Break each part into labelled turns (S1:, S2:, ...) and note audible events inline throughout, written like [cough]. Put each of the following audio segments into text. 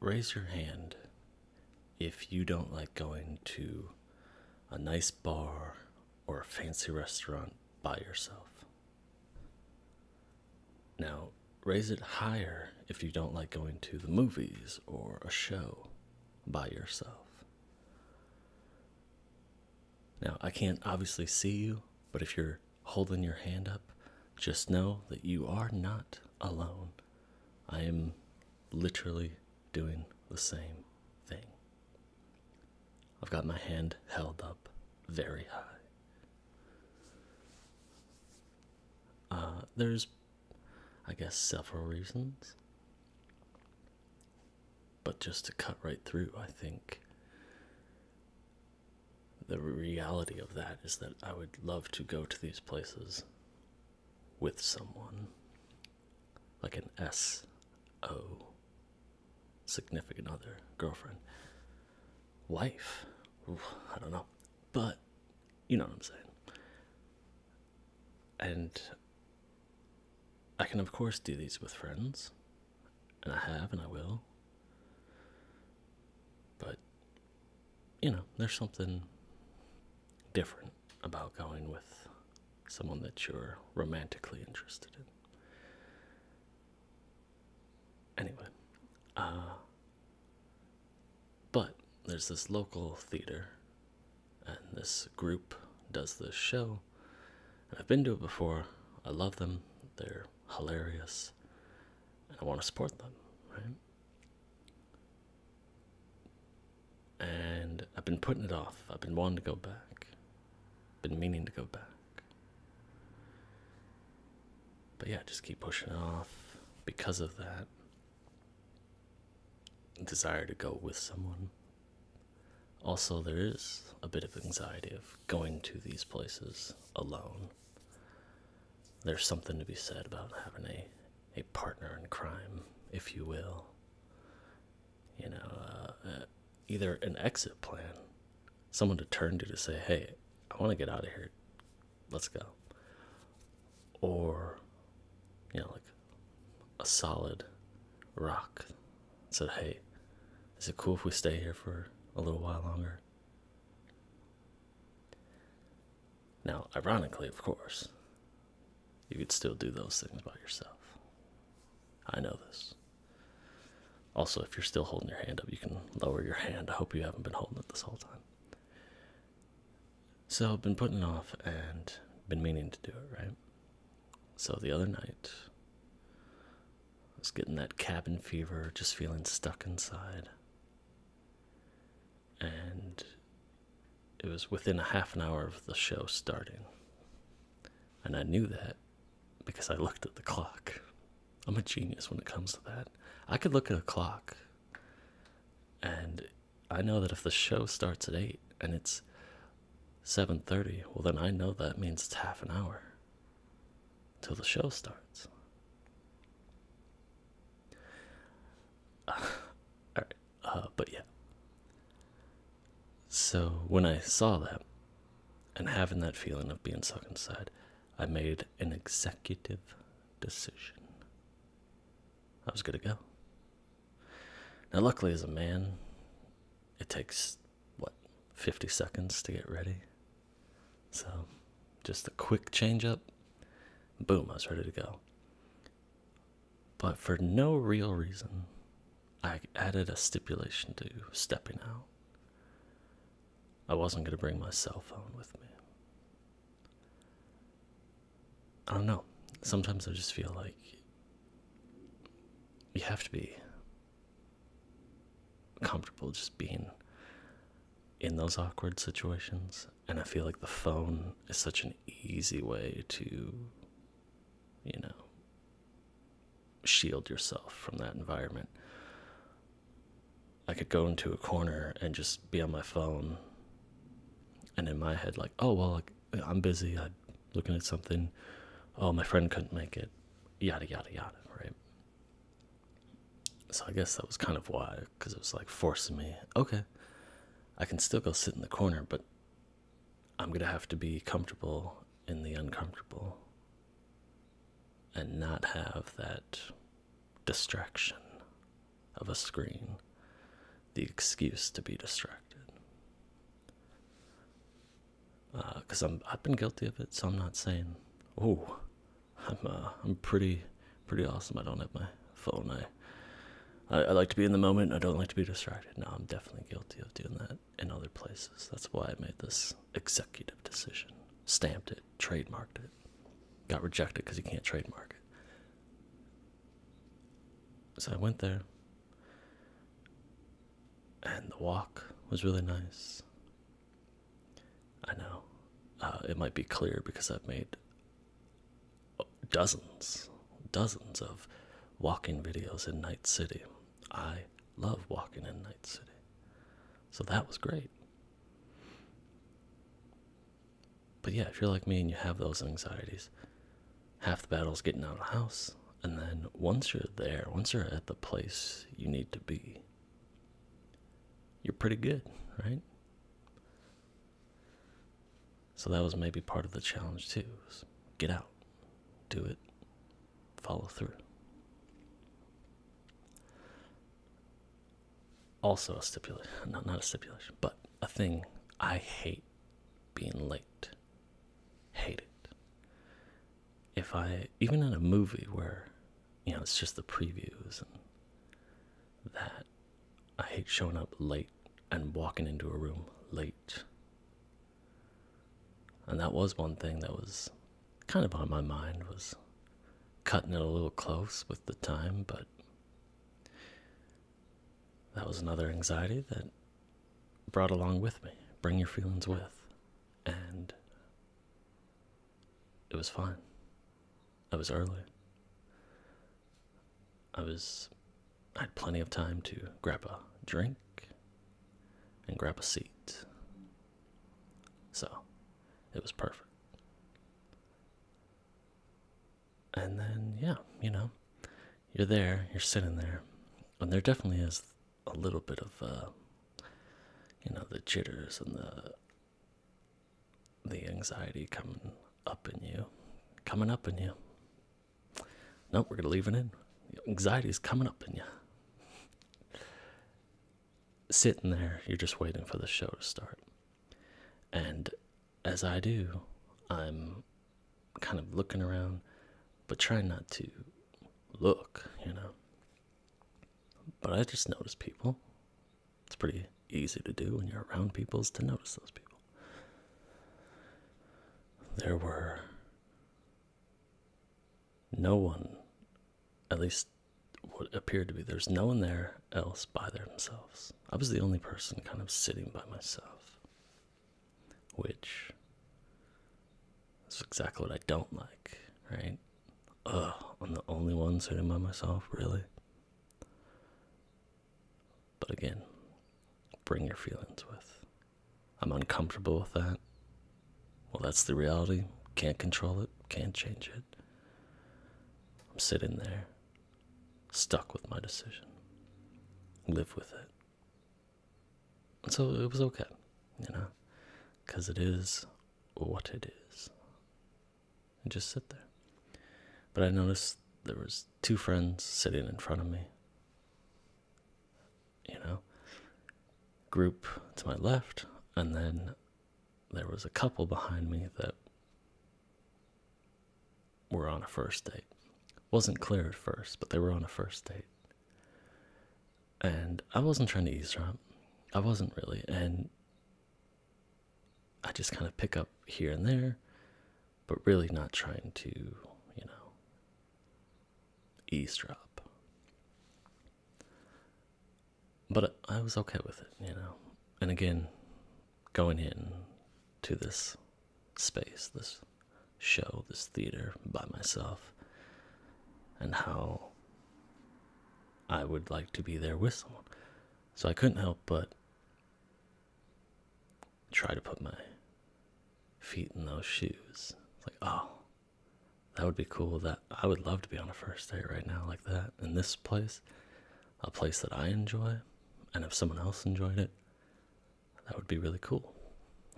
S1: Raise your hand if you don't like going to a nice bar or a fancy restaurant by yourself. Now, raise it higher if you don't like going to the movies or a show by yourself. Now, I can't obviously see you, but if you're holding your hand up, just know that you are not alone. I am literally doing the same thing. I've got my hand held up very high. Uh, there's, I guess, several reasons. But just to cut right through, I think the reality of that is that I would love to go to these places with someone like an S O significant other, girlfriend, wife. I don't know, but you know what I'm saying. And I can, of course, do these with friends, and I have and I will, but you know, there's something different about going with someone that you're romantically interested in. Anyway, uh, but there's this local theater, and this group does this show. And I've been to it before. I love them. They're hilarious, and I want to support them. Right? And I've been putting it off. I've been wanting to go back. Been meaning to go back. But yeah, just keep pushing off because of that desire to go with someone. Also, there is a bit of anxiety of going to these places alone. There's something to be said about having a a partner in crime, if you will. You know, uh, uh, either an exit plan, someone to turn to to say, "Hey, I want to get out of here. Let's go." Or, you know, like a solid rock said, "Hey, is it cool if we stay here for a little while longer?" Now, ironically, of course, you could still do those things by yourself. I know this. Also, if you're still holding your hand up, you can lower your hand. I hope you haven't been holding it this whole time. So, I've been putting off and been meaning to do it, right? So, the other night, I was getting that cabin fever, just feeling stuck inside and it was within a half an hour of the show starting. And I knew that because I looked at the clock. I'm a genius when it comes to that. I could look at a clock and I know that if the show starts at 8 and it's 7:30, well then I know that means it's half an hour till the show starts. [laughs] all right, uh, but yeah. So when I saw that, and having that feeling of being sucked inside, I made an executive decision. I was gonna go. Now, luckily, as a man, it takes what 50 seconds to get ready. So, just a quick change up. Boom, I was ready to go. But for no real reason, I added a stipulation to stepping out. I wasn't going to bring my cell phone with me. I don't know. Sometimes I just feel like you have to be comfortable just being in those awkward situations and i feel like the phone is such an easy way to you know shield yourself from that environment i could go into a corner and just be on my phone and in my head like oh well i'm busy i'm looking at something oh my friend couldn't make it yada yada yada right so I guess that was kind of why, because it was like forcing me, okay, I can still go sit in the corner, but I'm going to have to be comfortable in the uncomfortable and not have that distraction of a screen, the excuse to be distracted. Because uh, I'm I've been guilty of it, so I'm not saying, oh, I'm uh, I'm pretty pretty awesome. I don't have my phone. I, I I like to be in the moment. I don't like to be distracted. Now I'm definitely guilty of doing that in other places. That's why I made this executive decision, stamped it, trademarked it. Got rejected because you can't trademark it. So I went there. And the walk was really nice. I know uh, it might be clear because I've made dozens, dozens of walking videos in Night City. I love walking in Night City. So that was great. But yeah, if you're like me and you have those anxieties, half the battle is getting out of the house. And then once you're there, once you're at the place you need to be, you're pretty good, right? So that was maybe part of the challenge too. get out, do it, follow through. Also a stipulation, [laughs] not not a stipulation, but a thing I hate being late. Hate it. If I even in a movie where you know it's just the previews and that I hate showing up late and walking into a room late. And that was one thing that was kind of on my mind was cutting it a little close with the time, but that was another anxiety that brought along with me. Bring your feelings with. And it was fine. I was early. I was. I had plenty of time to grab a drink and grab a seat. So, it was perfect. And then, yeah, you know, you're there, you're sitting there, and there definitely is a little bit of, uh, you know, the jitters and the the anxiety coming up in you, coming up in you. No, we're gonna leave it in. Anxiety is coming up in you. Sitting there, you're just waiting for the show to start. And as I do, I'm kind of looking around, but trying not to look, you know. But I just notice people it's pretty easy to do when you're around people to notice those people. There were no one, at least what appeared to be, there's no one there else by themselves. I was the only person kind of sitting by myself, which is exactly what I don't like, right? Ugh, I'm the only one sitting by myself, really? But again, bring your feelings with. I'm uncomfortable with that. Well, that's the reality. Can't control it, can't change it. I'm sitting there, stuck with my decision. Live with it. so it was okay, you know, because it is what it is and just sit there. But I noticed there was two friends sitting in front of me. You know, group to my left, and then there was a couple behind me that were on a first date. Wasn't clear at first, but they were on a first date. And I wasn't trying to eavesdrop. I wasn't really. And I just kind of pick up here and there, but really not trying to, you know, eavesdrop. But I was okay with it, you know. And again, going in to this space, this show, this theater by myself, and how I would like to be there with someone. So I couldn't help but try to put my feet in those shoes. like, oh, that would be cool. That I would love to be on a first date right now, like that, in this place, a place that I enjoy. And if someone else enjoyed it, that would be really cool,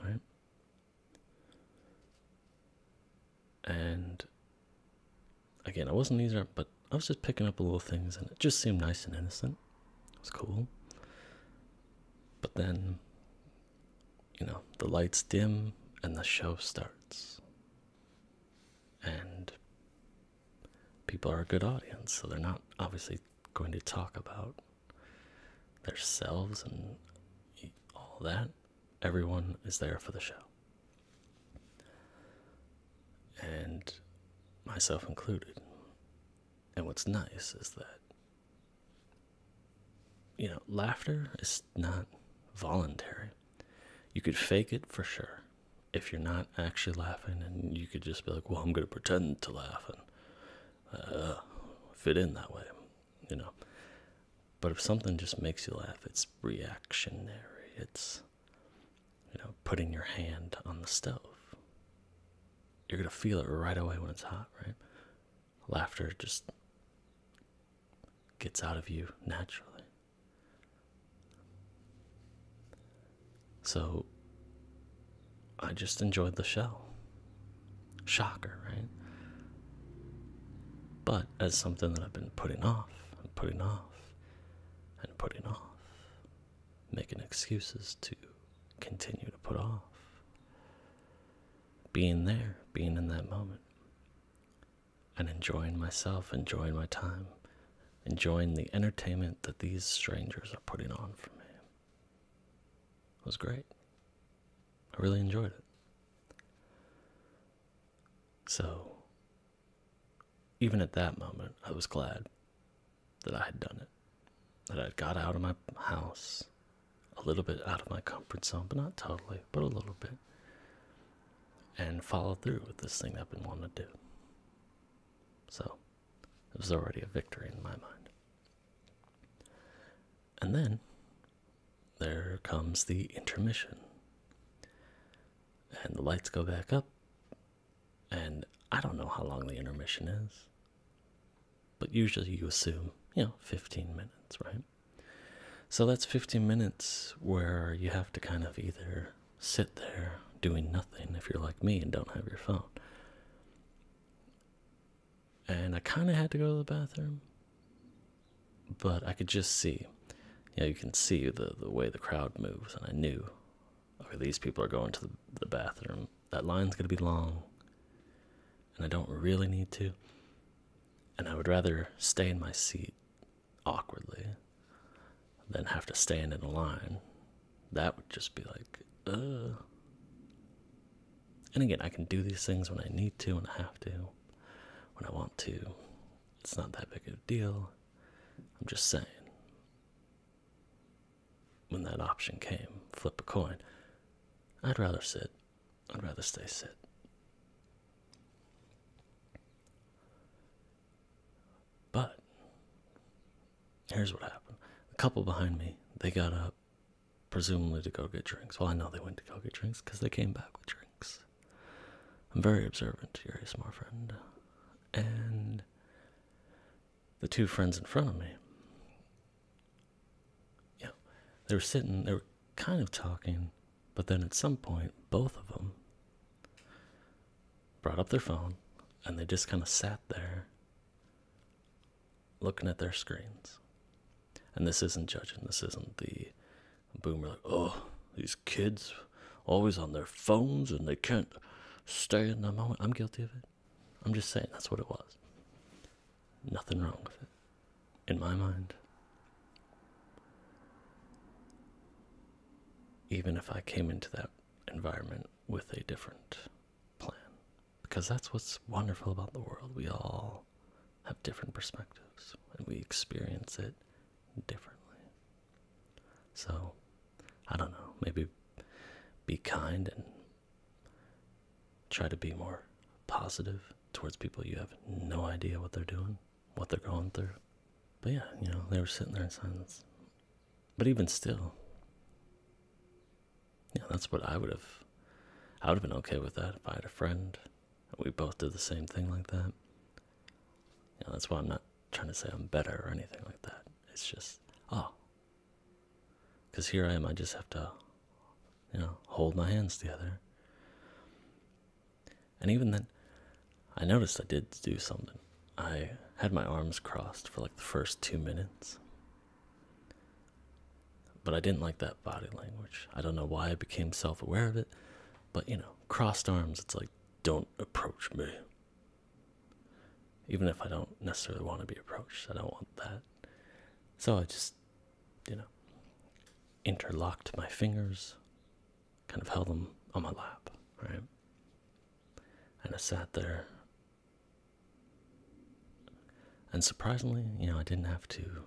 S1: right? and again, I wasn't either, but I was just picking up little things, and it just seemed nice and innocent. It was cool. But then, you know, the lights dim and the show starts. And people are a good audience, so they're not obviously going to talk about themselves and all that. Everyone is there for the show and myself included. And what's nice is that, you know, laughter is not voluntary. You could fake it for sure if you're not actually laughing, and you could just be like, well, I'm going to pretend to laugh and uh, fit in that way, you know. But if something just makes you laugh, it's reactionary. It's, you know, putting your hand on the stove. You're going to feel it right away when it's hot, right? Laughter just gets out of you naturally. So I just enjoyed the show. Shocker, right? But as something that I've been putting off and putting off and putting off, making excuses to continue to put off. Being there, being in that moment, and enjoying myself, enjoying my time, enjoying the entertainment that these strangers are putting on for me. It was great. I really enjoyed it. So, even at that moment, I was glad that I had done it, that I had got out of my house, a little bit out of my comfort zone, but not totally, but a little bit, and followed through with this thing I've been wanting to do. So, it was already a victory in my mind. And then there comes the intermission. And the lights go back up. And I don't know how long the intermission is. But usually you assume, you know, 15 minutes, right? So that's 15 minutes where you have to kind of either sit there doing nothing if you're like me and don't have your phone. And I kind of had to go to the bathroom, but I could just see. Yeah, you can see the the way the crowd moves, and I knew, okay, these people are going to the, the bathroom. That line's gonna be long, and I don't really need to. And I would rather stay in my seat awkwardly than have to stand in a line. That would just be like, uh. And again, I can do these things when I need to, and I have to, when I want to. It's not that big of a deal. I'm just saying. When that option came, flip a coin. I'd rather sit. I'd rather stay sit. But here's what happened. The couple behind me, they got up, presumably to go get drinks. Well, I know they went to go get drinks because they came back with drinks. I'm very observant, your smart friend. And the two friends in front of me, yeah, they were sitting, they were kind of talking, but then at some point, both of them brought up their phone and they just kind of sat there looking at their screens. And this isn't judging, this isn't the Boomer, like, oh, these kids always on their phones and they can't stay in the moment. I'm guilty of it. I'm just saying that's what it was. Nothing wrong with it, in my mind. Even if I came into that environment with a different plan, because that's what's wonderful about the world. We all have different perspectives and we experience it differently. So, I don't know, maybe be kind and try to be more positive towards people you have no idea what they're doing, what they're going through. But yeah, you know, they were sitting there in silence. But even still, yeah, that's what I would have. I would have been okay with that if I had a friend we both did the same thing like that. Yeah, that's why I'm not trying to say I'm better or anything like that. It's just, oh. Because here I am, I just have to, you know, hold my hands together. And even then, I noticed I did do something. I had my arms crossed for like the first two minutes. But I didn't like that body language. I don't know why I became self aware of it, but you know, crossed arms, it's like, don't approach me. Even if I don't necessarily want to be approached, I don't want that. So I just, you know, interlocked my fingers, kind of held them on my lap, right? And I sat there. And surprisingly, you know, I didn't have to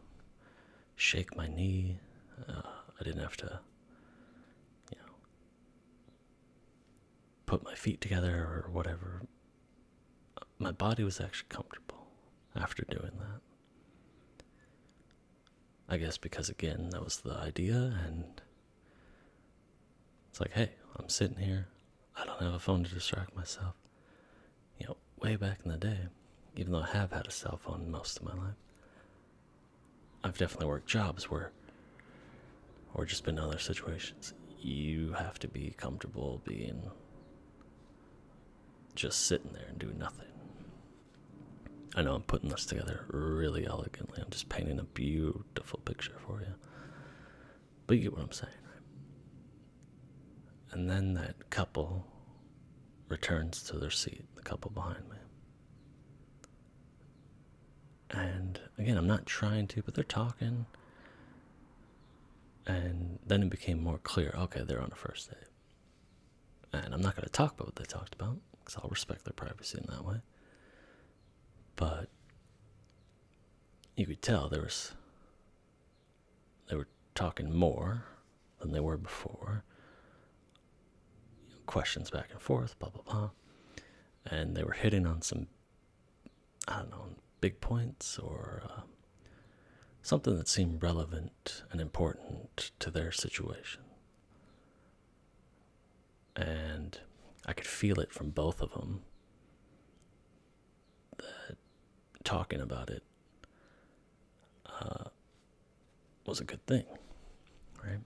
S1: shake my knee. Uh, I didn't have to, you know, put my feet together or whatever. My body was actually comfortable after doing that. I guess because, again, that was the idea, and it's like, hey, I'm sitting here. I don't have a phone to distract myself. You know, way back in the day, even though I have had a cell phone most of my life, I've definitely worked jobs where, or just been in other situations, you have to be comfortable being just sitting there and doing nothing. I know I'm putting this together really elegantly. I'm just painting a beautiful picture for you. But you get what I'm saying, And then that couple returns to their seat, the couple behind me. And again, I'm not trying to, but they're talking. And then it became more clear okay, they're on a first date. And I'm not going to talk about what they talked about because I'll respect their privacy in that way. But you could tell there was. They were talking more than they were before. questions back and forth, blah, blah, blah. And they were hitting on some, I don't know, big points or um, something that seemed relevant and important to their situation. And I could feel it from both of them talking about it uh, was a good thing, right?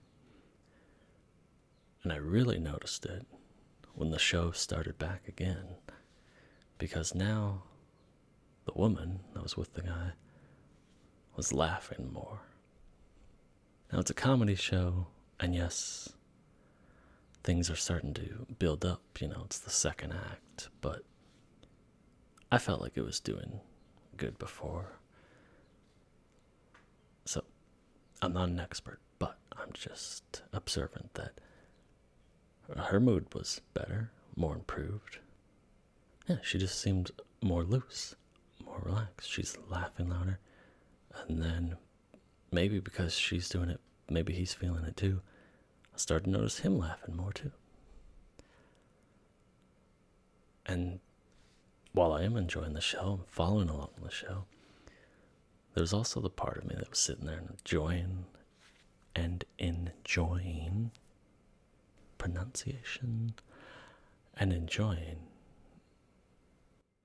S1: And I really noticed it when the show started back again because now the woman that was with the guy was laughing more. Now it's a comedy show, and yes, things are starting to build up, you know, it's the second act, but I felt like it was doing good before. So, I'm not an expert, but I'm just observant that her mood was better, more improved. Yeah, she just seemed more loose, more relaxed. She's laughing louder. And then maybe because she's doing it, maybe he's feeling it too. I started to notice him laughing more too. And while I am enjoying the show, and following along the show, there's also the part of me that was sitting there and enjoying and enjoying pronunciation and enjoying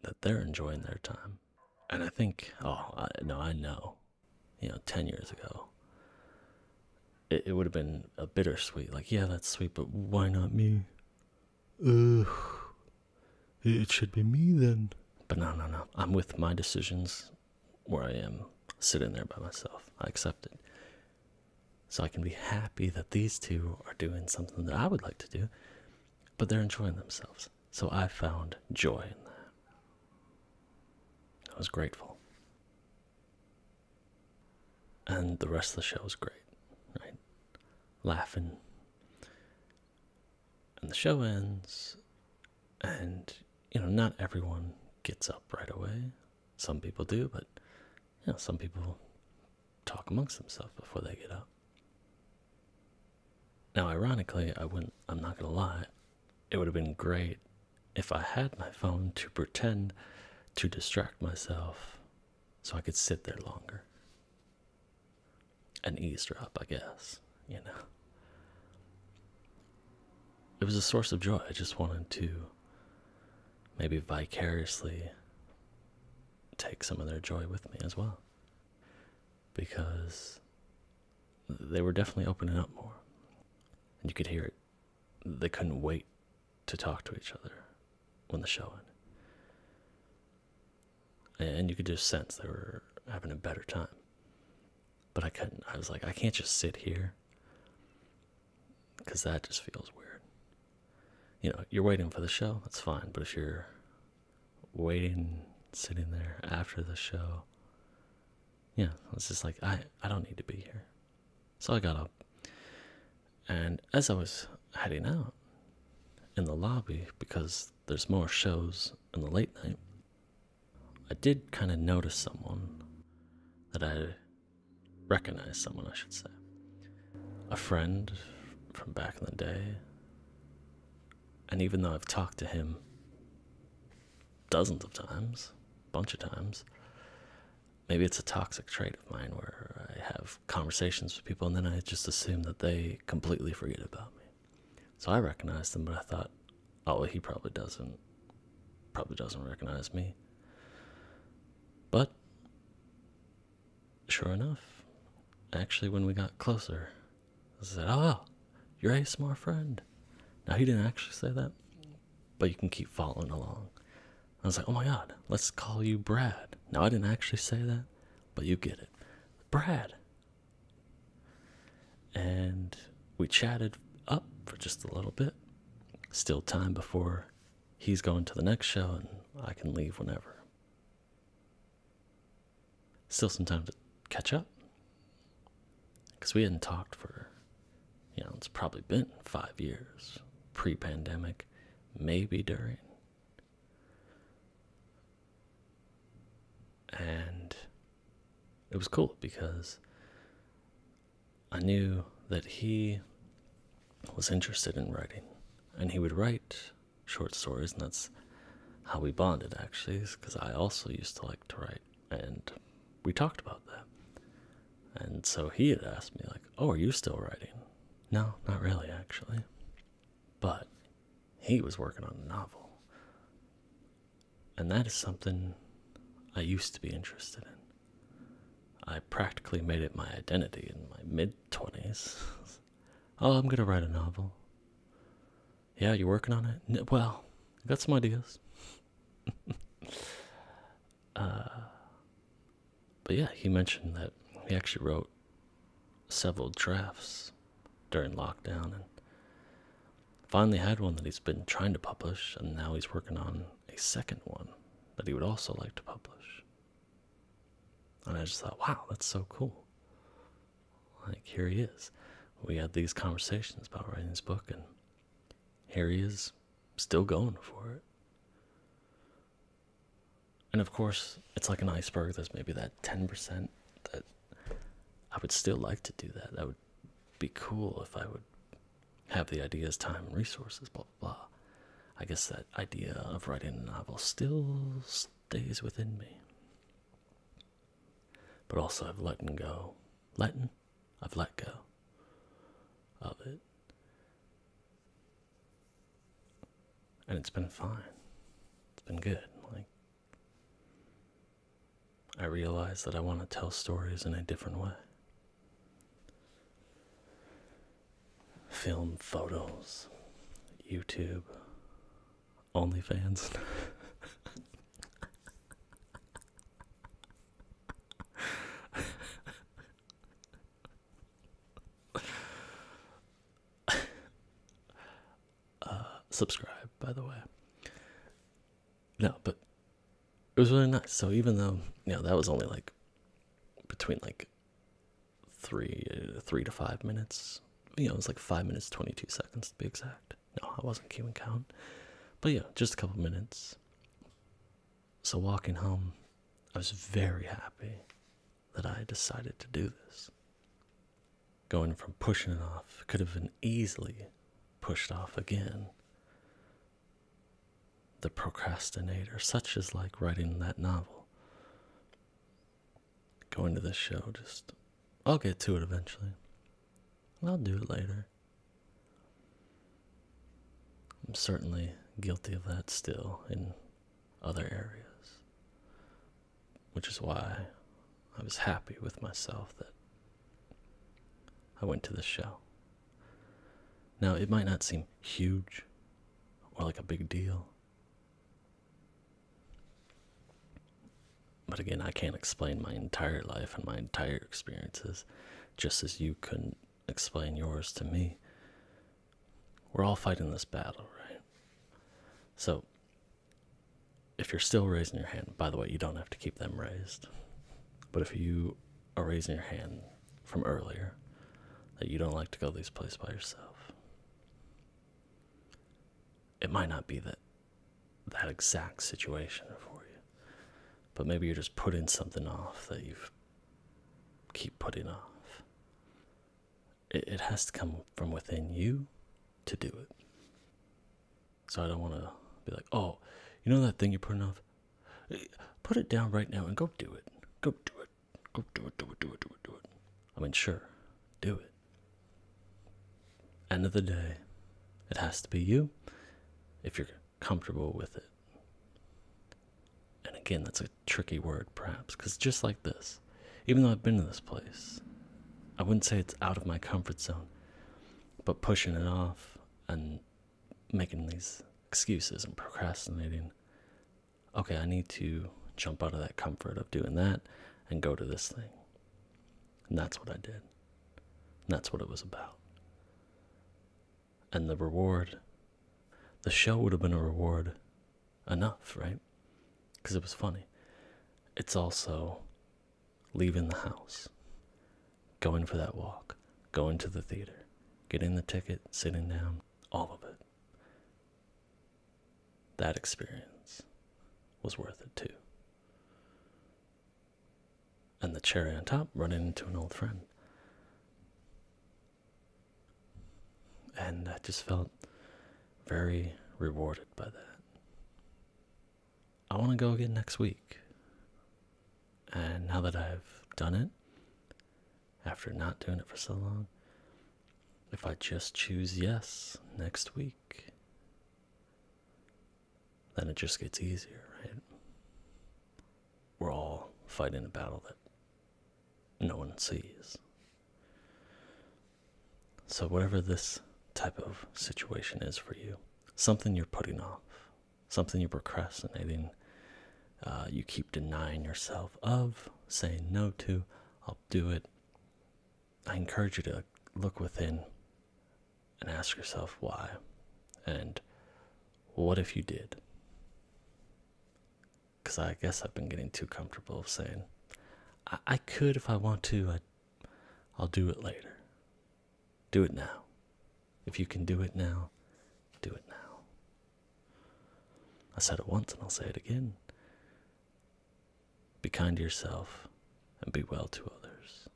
S1: that they're enjoying their time. And I think, oh, I, no, I know, you know, 10 years ago, it, would have been a bittersweet like yeah that's sweet but why not me Ugh, it should be me then but no no no i'm with my decisions where i am sitting there by myself i accept it so i can be happy that these two are doing something that i would like to do but they're enjoying themselves so i found joy in that i was grateful and the rest of the show is great, right? Laughing. And the show ends, and you know, not everyone gets up right away. Some people do, but you know, some people talk amongst themselves before they get up. Now, ironically, I wouldn't, I'm not gonna lie, it would have been great if I had my phone to pretend to distract myself so I could sit there longer. An eavesdrop, I guess, you know. It was a source of joy. I just wanted to maybe vicariously take some of their joy with me as well. Because they were definitely opening up more. And you could hear it. They couldn't wait to talk to each other when the show ended. And you could just sense they were having a better time. But I couldn't. I was like, I can't just sit here because that just feels weird. You know, you're waiting for the show, that's fine. But if you're waiting, sitting there after the show, yeah, it's just like I I don't need to be here. So I got up and as I was heading out in the lobby, because there's more shows in the late night, I did kind of notice someone that I recognized, someone I should say. A friend from back in the day. And even though I've talked to him dozens of times, a bunch of times, maybe it's a toxic trait of mine where I have conversations with people and then I just assume that they completely forget about me. So I recognized them, but I thought, oh, he probably doesn't, probably doesn't recognize me. But sure enough, actually, when we got closer, I said, oh, you're a smart friend. Now he didn't actually say that, but you can keep following along. I was like, oh my god, let's call you Brad. Now, I didn't actually say that, but you get it. Brad. And we chatted up for just a little bit. Still time before he's going to the next show, and I can leave whenever. Still some time to catch up because we hadn't talked for, you know, it's probably been five years pre pandemic, maybe during. And it was cool because I knew that he was interested in writing and he would write short stories, and that's how we bonded actually, because I also used to like to write and we talked about that. And so he had asked me, like, oh, are you still writing? No, not really, actually. But he was working on a novel. And that is something I used to be interested in. I practically made it my identity in my mid 20s. [laughs] oh, I'm going to write a novel. Yeah, you're working on it? Well, got some ideas. [laughs] Uh, but yeah, he mentioned that he actually wrote several drafts during lockdown and finally had one that he's been trying to publish, and now he's working on a second one that he would also like to publish. And I just thought, wow, that's so cool. Like, here he is. We had these conversations about writing his book, and Harry is still going for it. And of course, it's like an iceberg. There's maybe that 10% that I would still like to do that. That would be cool if I would have the ideas, time, resources, blah, blah, I guess that idea of writing a novel still stays within me. But also, I've letting go. Letting I've let go of it. And it's been fine. It's been good. Like I realize that I want to tell stories in a different way. Film photos, YouTube, OnlyFans. [laughs] [laughs] uh, subscribe, by the way. No, but it was really nice. So even though you know that was only like between like three uh, three to five minutes, you know, it was like five minutes twenty two seconds to be exact. No, I wasn't keeping count, but yeah, just a couple minutes. So, walking home, I was very happy that I decided to do this. Going from pushing it off could have been easily pushed off again. The procrastinator, such as like writing that novel. Going to the show, just, I'll get to it eventually. I'll do it later. I'm certainly guilty of that still in other areas, which is why I was happy with myself that I went to this show. Now, it might not seem huge or like a big deal. But again, I can't explain my entire life and my entire experiences just as you couldn't explain yours to me. We're all fighting this battle, right? So, if you're still raising your hand, by the way, you don't have to keep them raised. But if you are raising your hand from earlier, that you don't like to go these places by yourself, it might not be that that exact situation for you. But maybe you're just putting something off that you keep putting off. It, has to come from within you to do it. So I don't want to be like, oh, you know that thing you're putting off? Eh, put it down right now and go do it. Go do it. Go do it, do it, do it, do it, do it. I mean, sure, do it. End of the day, it has to be you. If you're comfortable with it. And again, that's a tricky word, perhaps, because just like this, even though I've been to this place, I wouldn't say it's out of my comfort zone, but pushing it off and making these excuses and procrastinating. Okay, I need to jump out of that comfort of doing that and go to this thing. And that's what I did. that's what it was about and the reward. The show would have been a reward enough, right? Because it was funny. It's also leaving the house, going for that walk, going to the theater, getting the ticket, sitting down, all of it. That experience was worth it too. And the cherry on top, running into an old friend. And I just felt very rewarded by that. I want to go again next week. And now that I've done it, after not doing it for so long, if I just choose yes next week, then it just gets easier, right? We're all fighting a battle that no one sees. So, whatever this type of situation is for you, something you're putting off, something you're procrastinating, uh, you keep denying yourself of, saying no to, I'll do it. I encourage you to look within and ask yourself why and what if you did? Because I guess I've been getting too comfortable of saying, I, could if I want to, I'll do it later. Do it now. If you can do it now, do it now. I said it once and I'll say it again. Be kind to yourself and be well to others.